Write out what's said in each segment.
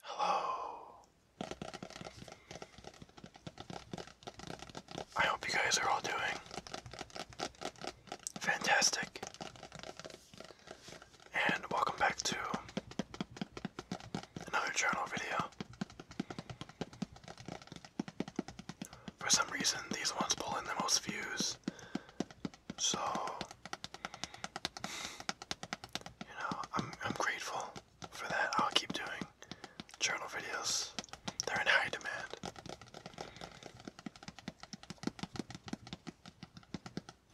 Hello. I hope you guys are all doing fantastic. And welcome back to another journal video. For some reason, these ones pull in the most views. So, know, I'm I'm grateful for that. I'll keep doing journal videos. They're in high demand.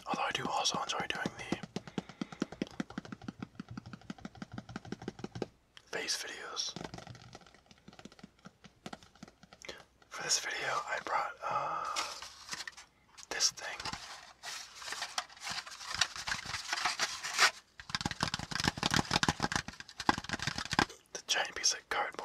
Although I do also enjoy doing the face videos. For this video, I brought uh, this thing. The giant piece of cardboard.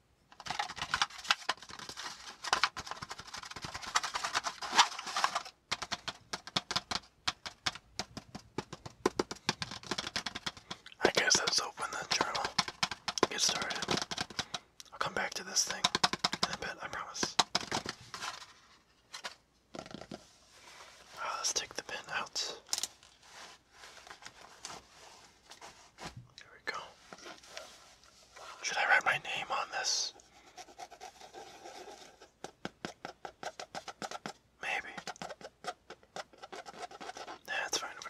I guess let's open the journal. Get started. I'll come back to this thing in a bit, I promise. Ah, let's take the pen out. There we go. Should I write my name on this? Maybe. Nah, fine for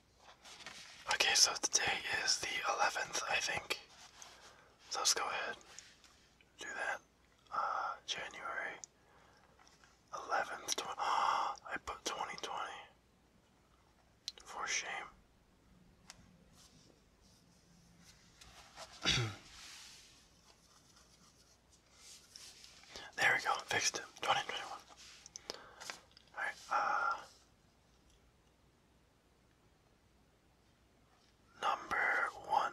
Okay, so today is the 11th, I think. So let's go ahead do that. Uh, January 11th. Tw oh, I put 2020. For shame. there we go. Fixed it. 2021. Alright, uh, number one.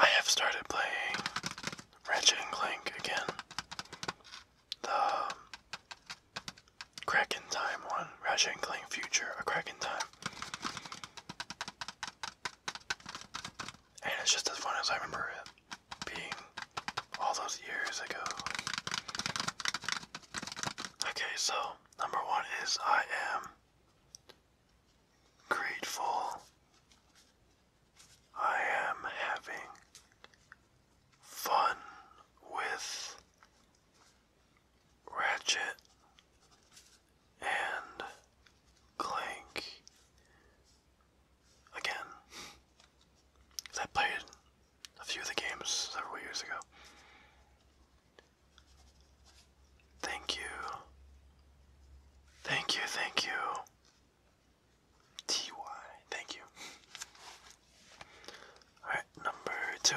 I have started playing Ratchet and Clank again. The Crack um, Time one, Ratchet and Clank Future, a Crack Time. And it's just as fun as I remember it being all those years ago. Okay, so number one is I am grateful. I am having fun with Ratchet and Clank again. I played a few of the games several years ago. Thank you. Thank you, thank you. TY, thank you. Alright, number two.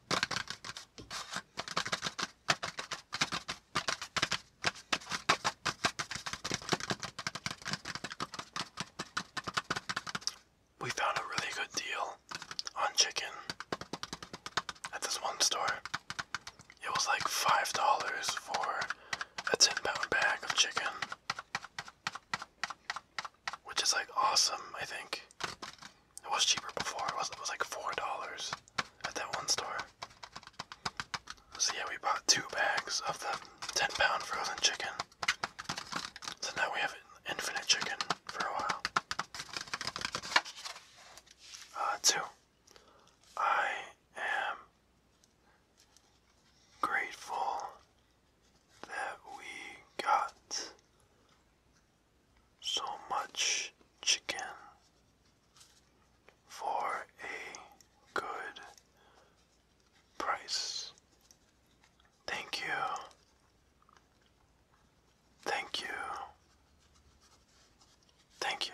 We found a really good deal on chicken at this one store. It was like $5 for a 10 pound bag of chicken, which is like awesome, I think. It was cheaper before. It was, it was like $4 at that one store. So yeah, we bought two bags of the 10 pound frozen chicken. So now we have infinite chicken for a while. Uh, two. I am grateful that we got so much chicken for a good price. Thank you. Thank you. Thank you.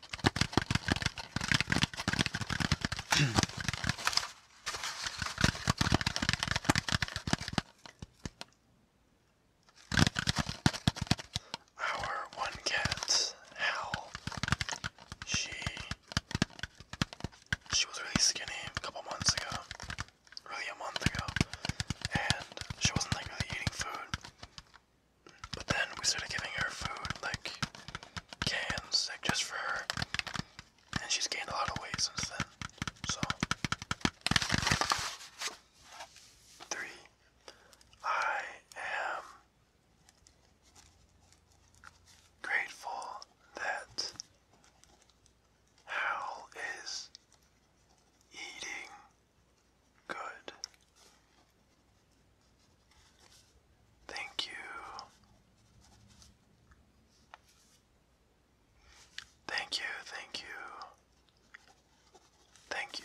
Our one cat, Hal, she she was really skinny a couple months ago, really a month ago, and she wasn't like really eating food. But then we started giving her food, like cans, like just for her. And she's gained a lot of weight since then. So, three, I am grateful that Hal is eating Good. Thank you. Thank you, thank you. Thank you.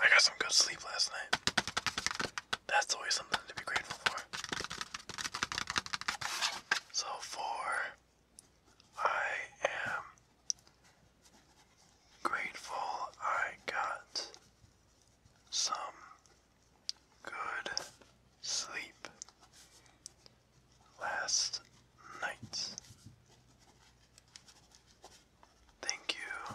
I got some good sleep last night that's always something to be grateful for. So, for I am grateful I got some good sleep last night. Thank you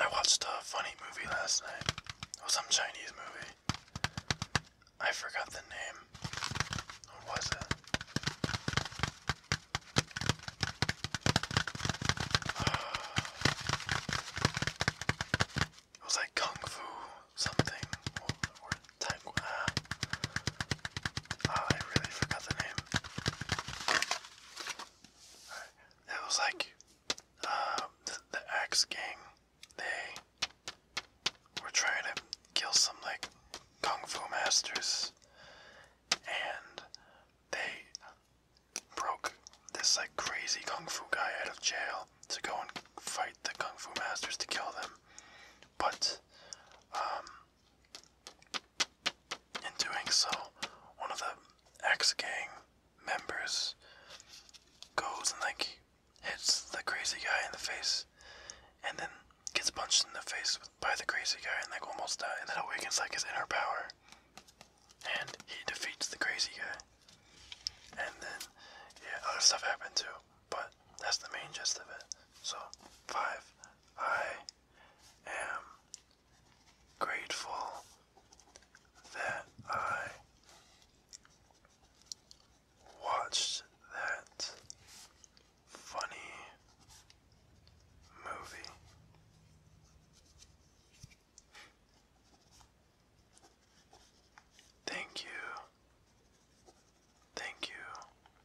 I watched a funny movie last night. It was some Chinese movie. I forgot the name. What was it? It was like Kung Fu something or, uh, or oh, I really forgot the name. It was like um, the, the Gang. They were trying to kill some like kung fu masters, and they broke this like crazy kung fu guy out of jail to go and fight the kung fu masters to kill them. But um, in doing so, one of the X Gang members goes and like hits the crazy guy in the face, and then gets punched in the face by the crazy guy and like almost dies, and then awakens like his inner power, and he defeats the crazy guy. And then, yeah, other stuff happened too. But that's the main gist of it. So, five, I am grateful that I watched that funny movie. Thank you. Thank you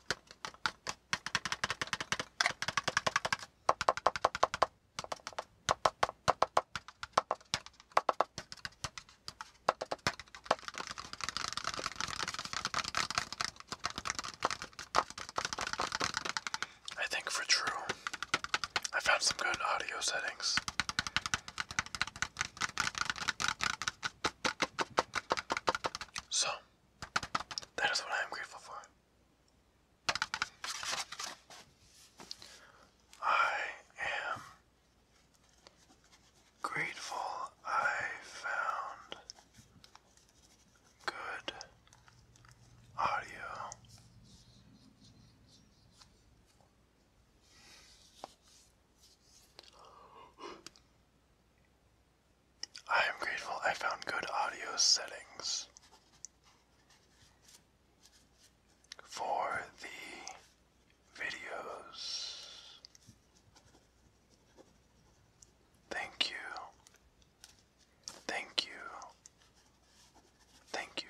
I think for true, I found some good audio settings. So, that is what I am grateful for. I am grateful I found good audio. I am grateful I found good audio settings for the videos. Thank you. Thank you. Thank you.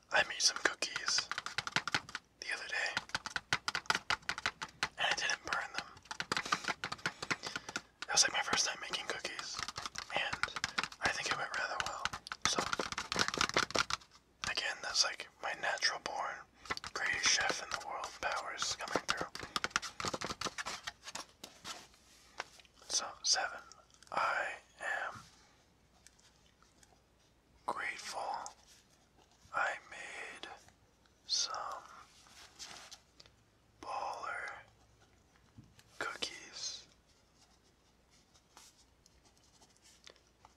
I made some cookies the other day, and I didn't burn them. That was like my first time making cookies, and I think it went rather well. So, again, that's like my natural born greatest chef in the world powers coming through. So, seven. I am grateful I made some baller cookies.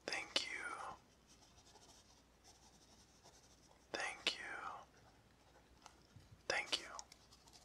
Thank you. Thank you. Thank you.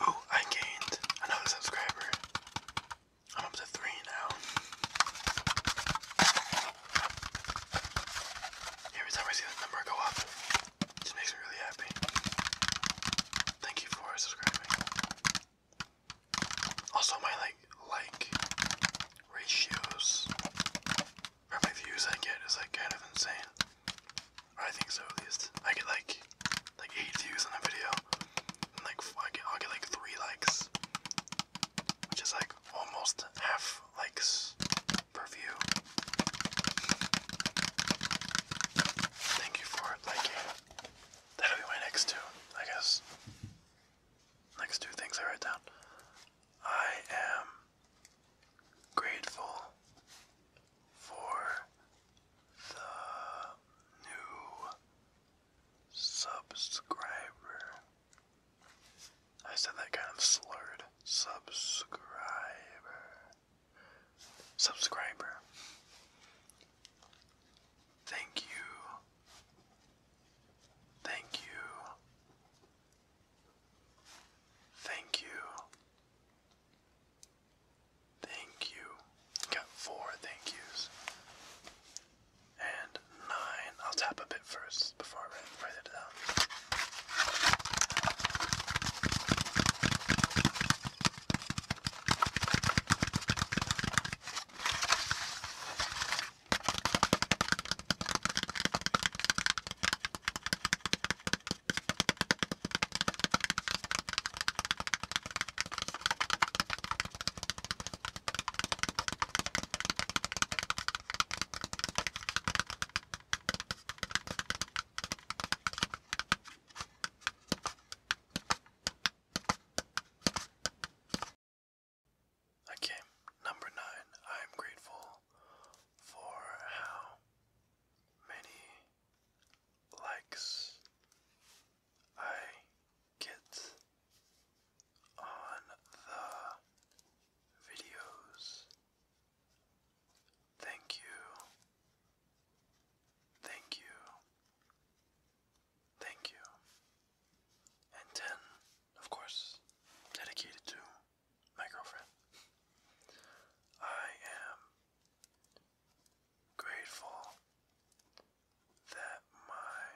Oh, I gained another subscriber. I'm up to three now. Every time I see that number go up, this makes me really happy. Thank you for subscribing. Also, my like like ratios or my views I get is like kind of insane. I think so at least. I get like like eight views on a video, and like I get, i get like three likes, which is like almost half likes per view. Thank you for liking. That'll be my next two, I guess. Next two things I write down. I am grateful for the new subscriber. I said that kind of slurred. Subscriber. Subscriber. Thank you. Thank you. Thank you. Thank you. Got four thank yous. And nine. I'll tap a bit first before further to them. Okay, number nine. I am grateful for how many likes I get on the videos Thank you. Thank you. Thank you. And 10, of course, dedicated to my girlfriend. I am grateful that my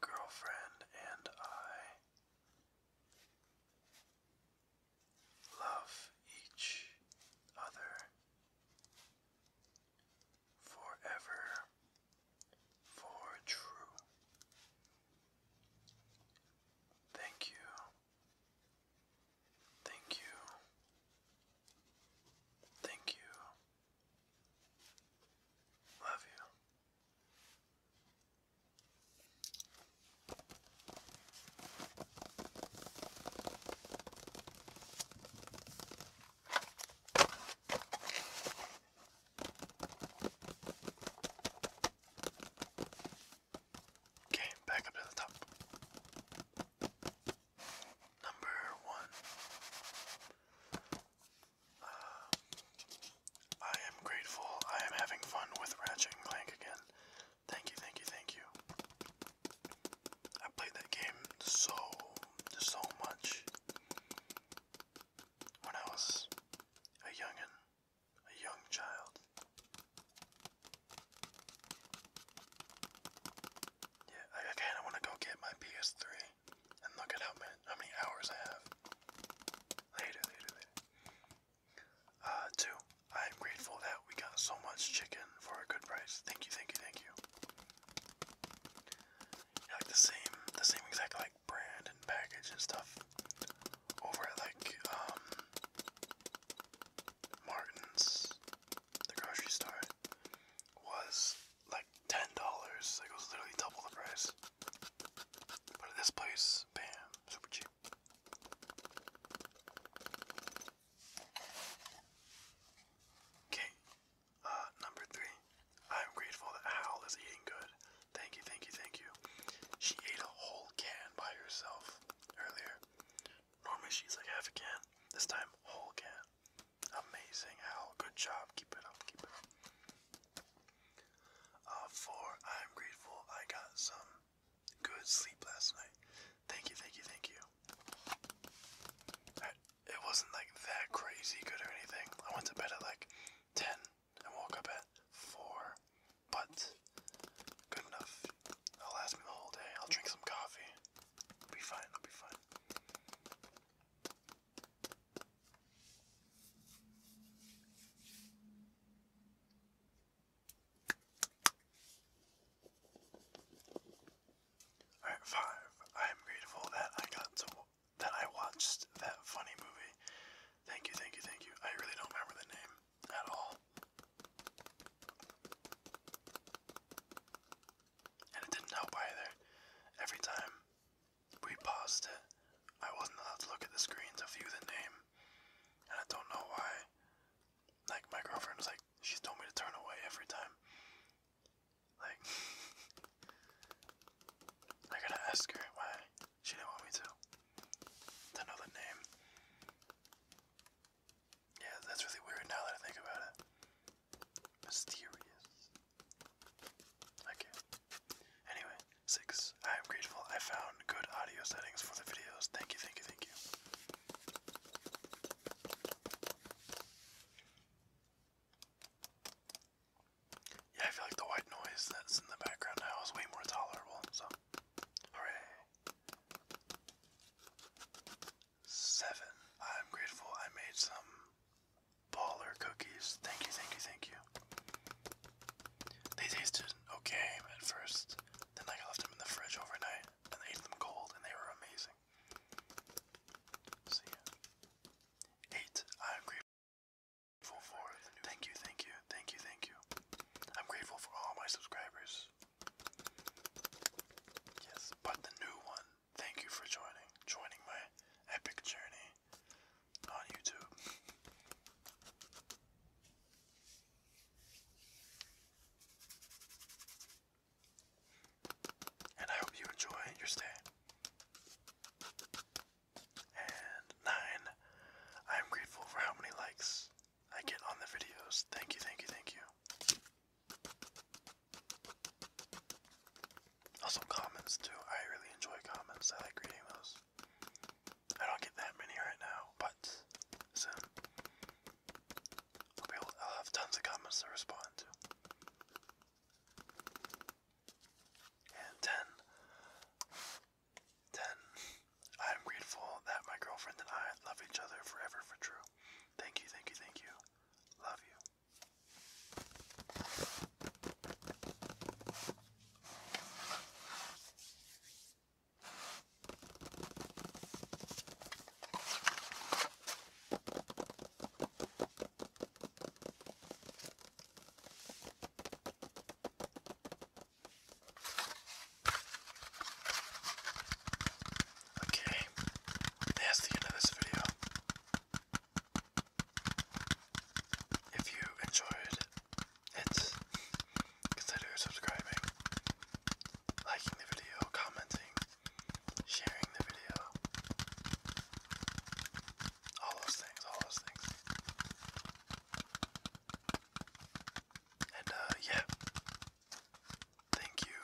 girlfriend and I Love each other forever for true. Thank you. Thank you. Thank you. Love you. Okay, back up to the top. Number one. Uh, I am grateful. I am having fun with Ratchet and Clank again. Thank you, thank you, thank you. I played that game so, so much when I was a youngin, a young child. Yeah, I, I want to go get my PS3 and look at how many, how many hours I have. Later, later, later. Uh, two, I'm grateful that we got so much chicken for a good price. Thank you, thank you, thank you. like the same, the same exact like brand and package and stuff over at like um, Martin's, the grocery store, was like ten dollars. it was literally double the price. But this place, bam, super cheap. Okay, uh, number three. I'm grateful that Hal is eating good. Thank you, thank you, thank you. She ate a whole can by herself earlier. Normally she's like half a can. This time, whole can. Amazing, Hal. Good job. Keep it up, keep it up. Uh, i I'm grateful I got some good sleep last night. Thank you, thank you, thank you. it wasn't like that crazy good or anything. I went to bed at like 10 and woke up at 4, but good enough. It'll last me the whole day. I'll drink some coffee. I'll be fine, I'll be fine. Alright, five. I am grateful that I got to that I watched that funny movie. Thank you, thank you, thank you. I really don't remember the name at all. And it didn't help either. Every time we paused it. I wasn't allowed to look at the screen to view the name. And I don't know why. Like, my girlfriend was like, she's told me to turn away every time. Like, I gotta ask her why she didn't want me to. To know the name. Yeah, that's really weird now that I think about it. Mysterious. I Anyway, six. I am grateful I found good audio settings for the videos. Thank you, thank you, thank you. Yeah, I feel like the white noise that's in the background now is way more tolerable, so hooray. Seven. I'm grateful I made some baller cookies. Thank you, thank you, thank you. They tasted okay at first. Then like I left them in the fridge overnight and I ate them cold and they were amazing. So yeah. Eight. I'm grateful for thank you, thank you, thank you, thank you. I'm grateful for all my subscribers. Yes, but the new one. Thank you for joining, joining my epic journey on YouTube. And I hope you enjoy your stay. And nine, I am grateful for how many likes I get on the videos. Thank you, thank you, thank you. Also, comments too. I really enjoy comments. I like reading those. I don't get that many right now, but so I'll, have tons of comments to respond to. And 10. I'm grateful that my girlfriend and I love each other forever for true. Thank you, thank you, thank you. Love you. Okay, that's the end of this video. If you enjoyed it, consider subscribing, liking the video, commenting, sharing the video. All those things, all those things. And uh, yeah. Thank you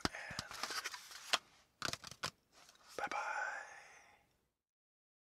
and bye bye.